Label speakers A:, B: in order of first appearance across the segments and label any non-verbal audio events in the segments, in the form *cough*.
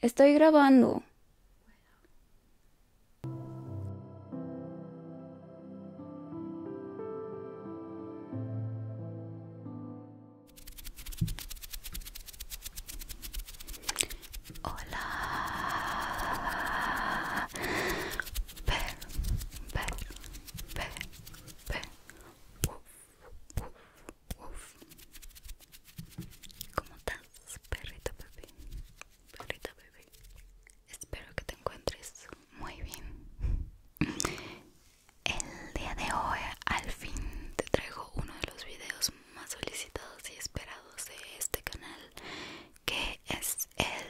A: Estoy grabando. Hola. ¿Cómo estás, perrito bebé? Perrita bebé. Espero que te encuentres muy bien. El día de hoy al fin te traigo uno de los videos más solicitados y esperados de este canal, que es el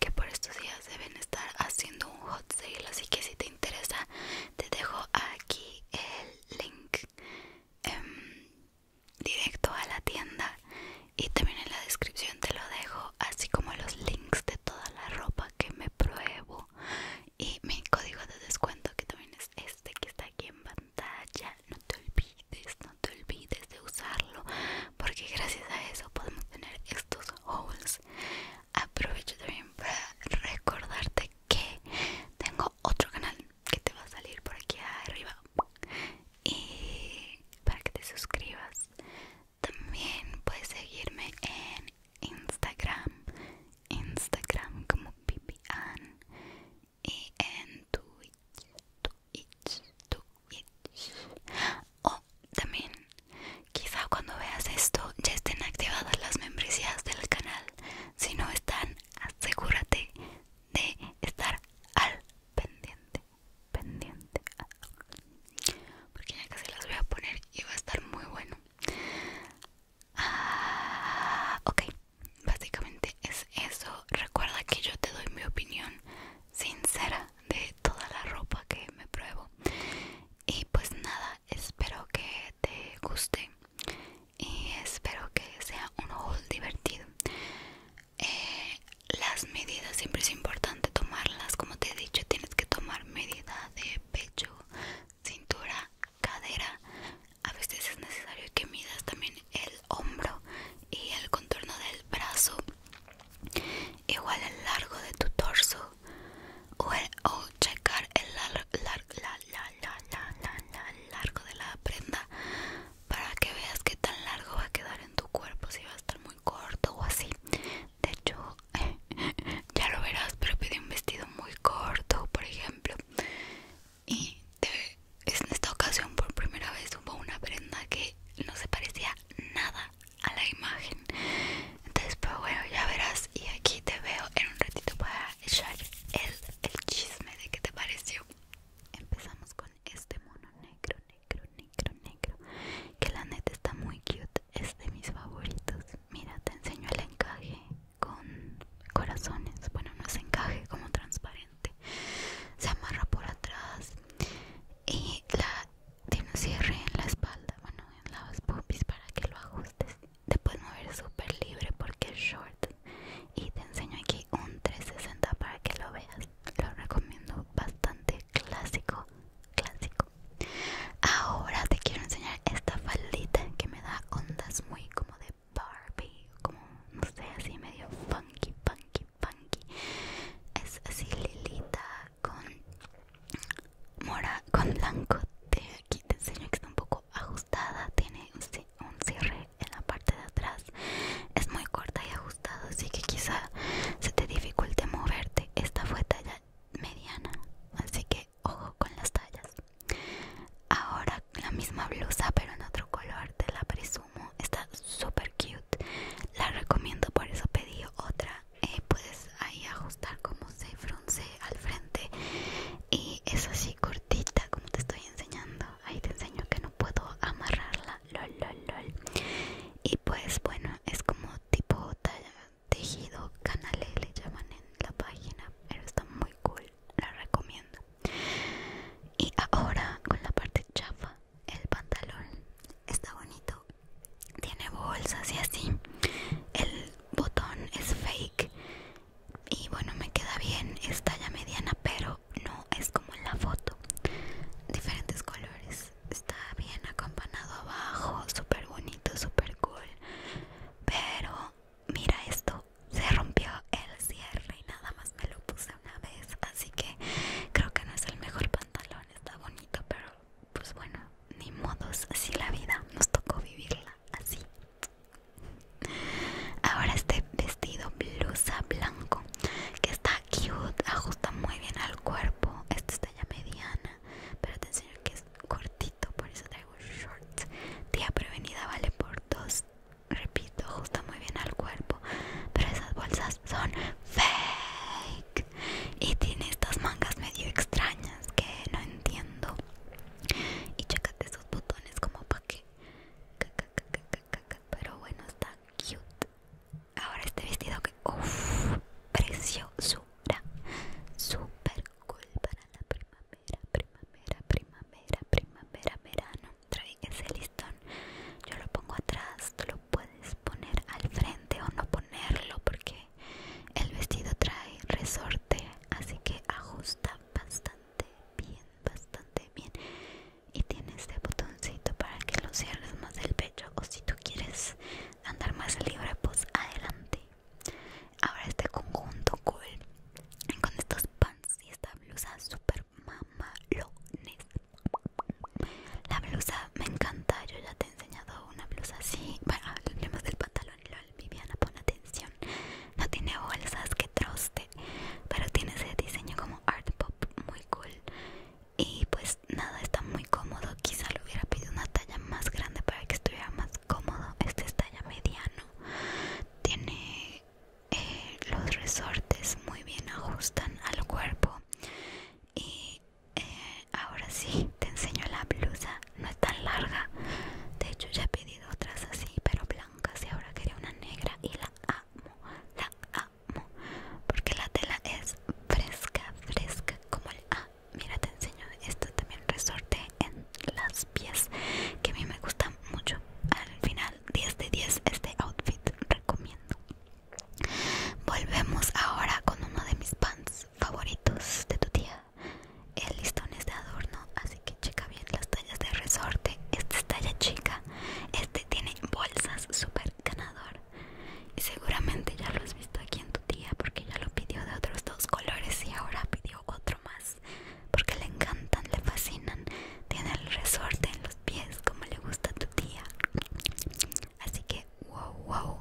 A: que por estos días deben estar haciendo un hot sale, así que si te interesa, te dejo aquí el link. Em, directo a la tienda y también en la descripción te lo dejo así como los links de toda la ropa que me pruebo y mi código de descuento que también es este que está aquí en pantalla no te olvides no te olvides de usarlo porque gracias a eso podemos tener estos hauls aprovecho también para recordarte que tengo otro canal que te va a salir por aquí arriba y para que te suscribas también puedes seguirme en Instagram, Instagram como Pipian y en Twitch, Twitch, Twitch. O también, quizá cuando veas esto ya estén activadas las membresías del canal. Si no están, asegúrate de estar al pendiente, pendiente, porque ya casi las voy a poner y va a estar muy bueno. Ah, ok, básicamente es eso. Recuerda que yo te doy mi opinión sincera de toda la ropa que me pruebo. Y pues nada, espero que te guste y espero que sea un haul divertido. Eh, las medidas siempre es importante tomarlas, como te he dicho, tienes que tomar medida de pecho, cintura, cadera. A veces es necesario que midas también el hombro y el contorno del brazo, igual el largo de tu torso o, checar el largo largo de la prenda para que veas qué tan largo va a quedar en tu cuerpo, si va a estar muy corto o así. De hecho, *laughs* ya lo verás, pero pide un vestido muy corto, por ejemplo, y en esta ocasión por primera vez hubo una prenda que no se parecía nada a la imagen entonces pues bueno ya verás y aquí te veo en un ratito para echar el, chisme de qué te pareció empezamos con este mono negro negro negro negro que la neta está muy cute es de mis favoritos mira te enseño el encaje con corazones bueno no se encaje como transparente se amarra por atrás y la tiene un cierre en la espalda bueno en las pupis para que lo ajustes te puedes mover súper libre porque es short y te enseño aquí un 360 para que lo veas lo recomiendo bastante clásico clásico Ahora te quiero enseñar esta faldita que me da ondas muy como de Barbie, como no sé, así medio funky, funky, funky. Es así lilita con mora, con blanco. Te, aquí te enseño que está un poco ajustada, tiene un cierre en la parte de atrás. Es muy corta y ajustada, así que quizá se te dificulte moverte. Esta fue talla mediana, así que ojo con las tallas. Ahora la misma blusa pero en otro color, te la presumo. Está súper cute. La recomiendo, por eso pedí otra. Eh, puedes ahí ajustar como se frunce al frente. Y es así cortita como te estoy enseñando. Ahí te enseño que no puedo amarrarla. Lol, Y pues bueno, es como tipo talla tejido canale le llaman en la página pero está muy cool la recomiendo y ahora con la parte chafa el pantalón está bonito tiene bolsas y así el botón es fake y bueno me queda bien es talla mediana pero no es como en la foto diferentes colores está bien acampanado abajo súper bonito súper cool pero mira esto, se rompió el cierre y nada más me lo puse una vez, así que creo que no es el mejor pantalón, está bonito, pero pues bueno, ni modos, así la vida, nos tocó vivirla así. Ahora este vestido blusa blanco que está cute, ajusta muy bien al cuerpo, esta está ya mediana, pero te enseño que cortito, por eso traigo shorts Tía prevenida vale por dos. Repito, ajusta muy bien al cuerpo. Pero esas bolsas son fake. Y tiene estas mangas medio extrañas que no entiendo. Y chécate esos botones como para que. Pero bueno, está cute. Ahora este vestido que. Uff, preciosura. Súper para la primavera, primavera, primavera, primavera, verano. Trae ese listón, yo lo pongo atrás, tú lo puedes poner al frente o no ponerlo porque el vestido trae resorte, así que ajusta bastante bien, bastante bien. Y tiene este botoncito para que lo cierres más del pecho o si tú quieres andar más libre, pues adelante. Ahora este conjunto cool con estos pants y esta blusa super mamalones. La blusa me encanta, yo ya te he enseñado una blusa así. Bueno, hablemos del pantalón, lol, Viviana, pon atención. No tiene bolsas que troste, pero tiene ese diseño como art pop muy cool. Y pues nada, está muy cómodo. Quizá le hubiera pedido una talla más grande para que estuviera más cómodo. Este es talla mediano. Tiene eh, los resortes muy bien ajustan al cuerpo. Y eh, ahora sí, te enseño la blusa. No es tan larga. De hecho, ya he pedido otras así, pero blancas. Y ahora quería una negra y la amo. La amo. Porque la tela es fresca, fresca como el A ah, mira te enseño esto también resorte en las pies que a mí me gusta mucho al final 10 de 10 este outfit recomiendo volvemos ahora con uno de mis pants favoritos de tu tía el listón es de adorno así que checa bien las tallas de resorte Esta es talla chica este tiene bolsas super ganador y seguramente ya lo has visto aquí en tu tía porque ya lo pidió de otros dos colores y ahora pidió otro más porque le encantan, le fascinan. Tiene el resorte en los pies como le gusta a tu tía. Así que, wow, wow,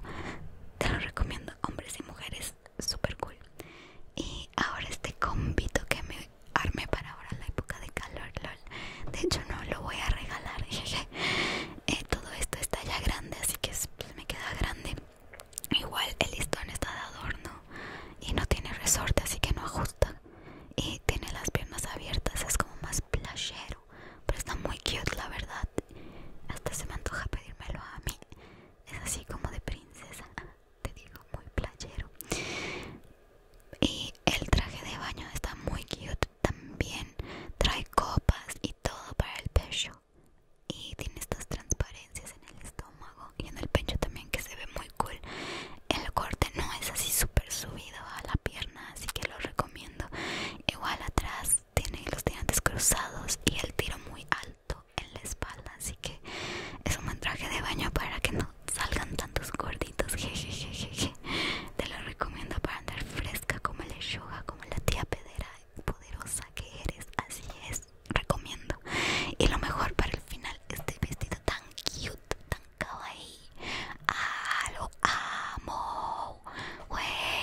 A: te lo recomiendo, hombres y mujeres, super cool. Y ahora este convito que me armé para ahora la época de calor, lol. De hecho, no lo voy a regalar, *laughs* jeje. Eh, todo esto está ya grande, así que me queda grande. Igual el listón está de adorno y no tiene resorte, así que no ajusta. Y tiene las piernas abiertas, es como más playero. Pero está muy cute, la verdad. Hasta se me antoja pedírmelo a mí. Es así como de princesa, *laughs* te digo, muy playero. Y el traje de baño está muy cute también. Trae copas y todo para el pecho y tiene estas transparencias en el estómago y en el pecho también que se ve muy cool el corte no es así súper subido a la pierna así que lo recomiendo igual atrás tiene los tirantes cruzados y el tiro muy alto en la espalda así que es un buen traje de baño para que no salgan tantos gorditos *laughs* te lo recomiendo para andar fresca como yoga como la tía pedera poderosa que eres así es recomiendo. Y lo mejor para el final, este vestido tan cute, tan kawaii. Ah, lo amo.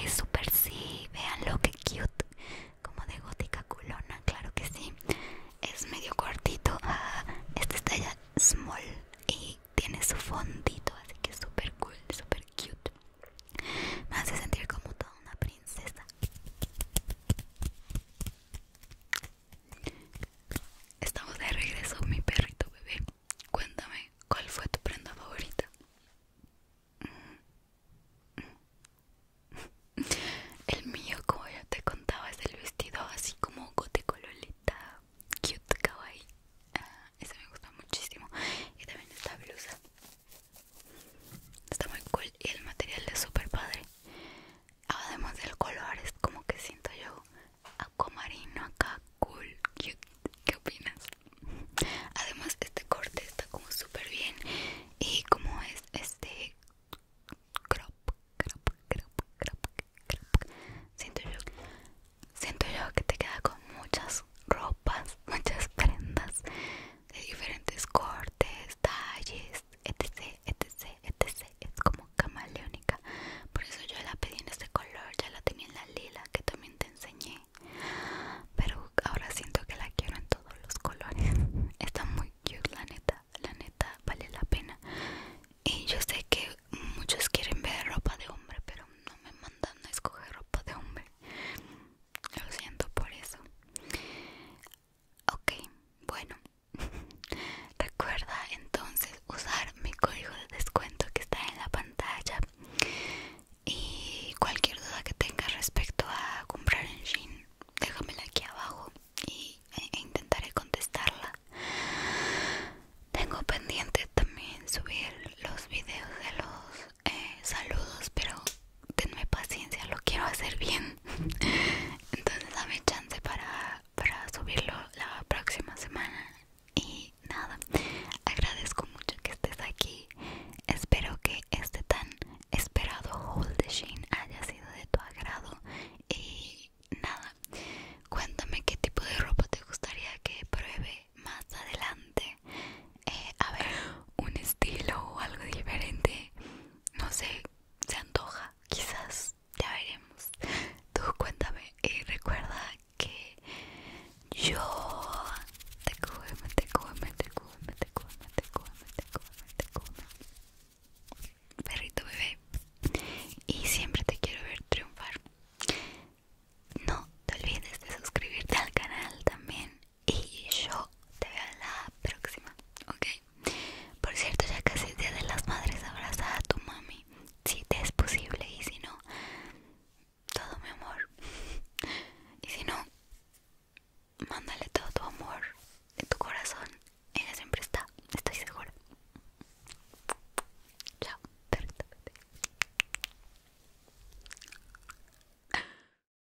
A: super sí. Vean lo que cute. Como de gótica culona, claro que sí. Es medio cortito. Ah, este está ya small y tiene su fondito, así que super cool, super cute. Me hace sentir como toda una Estamos de regreso, mi perrito bebé. Cuéntame, ¿cuál fue tu prenda favorita? *laughs* El mío, como ya te contaba, es el vestido así como gote colorita cute kawaii. Ah, ese me gusta muchísimo. Y también esta blusa Está muy cool y el material es súper padre. Además del color, es como que siento yo marino, acá, cool, ¿Qué opinas? Además, este corte está como súper bien. Y como es este crop, crop, crop, crop, crop. Siento yo, siento yo que te queda con muchas ropas, *laughs* muchas prendas de diferentes cortes talles, etc, etc, etc. Es como camaleónica. Por eso yo la pedí en este color, ya la tenía en la lila que también te enseñé. Pero ahora siento que la quiero en todos los colores. *laughs* Está muy cute, la neta, la neta vale la pena. Y yo sé que muchos quieren ver ropa de hombre, pero no me mandan a escoger ropa de hombre. Lo siento por eso. Ok, bueno. *laughs* Recuerda entonces usar mi código de descuento que está en la pantalla. Y cualquier duda que tengas respecto a comprar en Shein, déjamela aquí abajo y, e intentaré contestarla. Tengo pendiente también subir los videos de los eh, saludos, pero tenme paciencia, lo quiero hacer bien. *laughs* Entonces dame chance para, subirlo la próxima semana. Y nada, agradezco mucho que estés aquí. Espero que este tan esperado haul de Shein haya sido de tu agrado. Y nada, cuéntame qué tipo de ropa te gustaría que pruebe más adelante. Eh, a ver, un estilo o algo diferente. No sé, se antoja, quizás, ya veremos. Tú cuéntame y recuerda que yo te te te te te te te Perrito bebé. Y siempre te quiero ver triunfar. No te olvides de suscribirte al canal también y yo te veo en la próxima, ¿ok? Por cierto, ya casi es Día de las Madres, abraza a tu mami, si te es posible, y si no, todo mi amor. Y si no, mándale todo tu amor, en tu corazón, ella siempre está, estoy segura. Chao,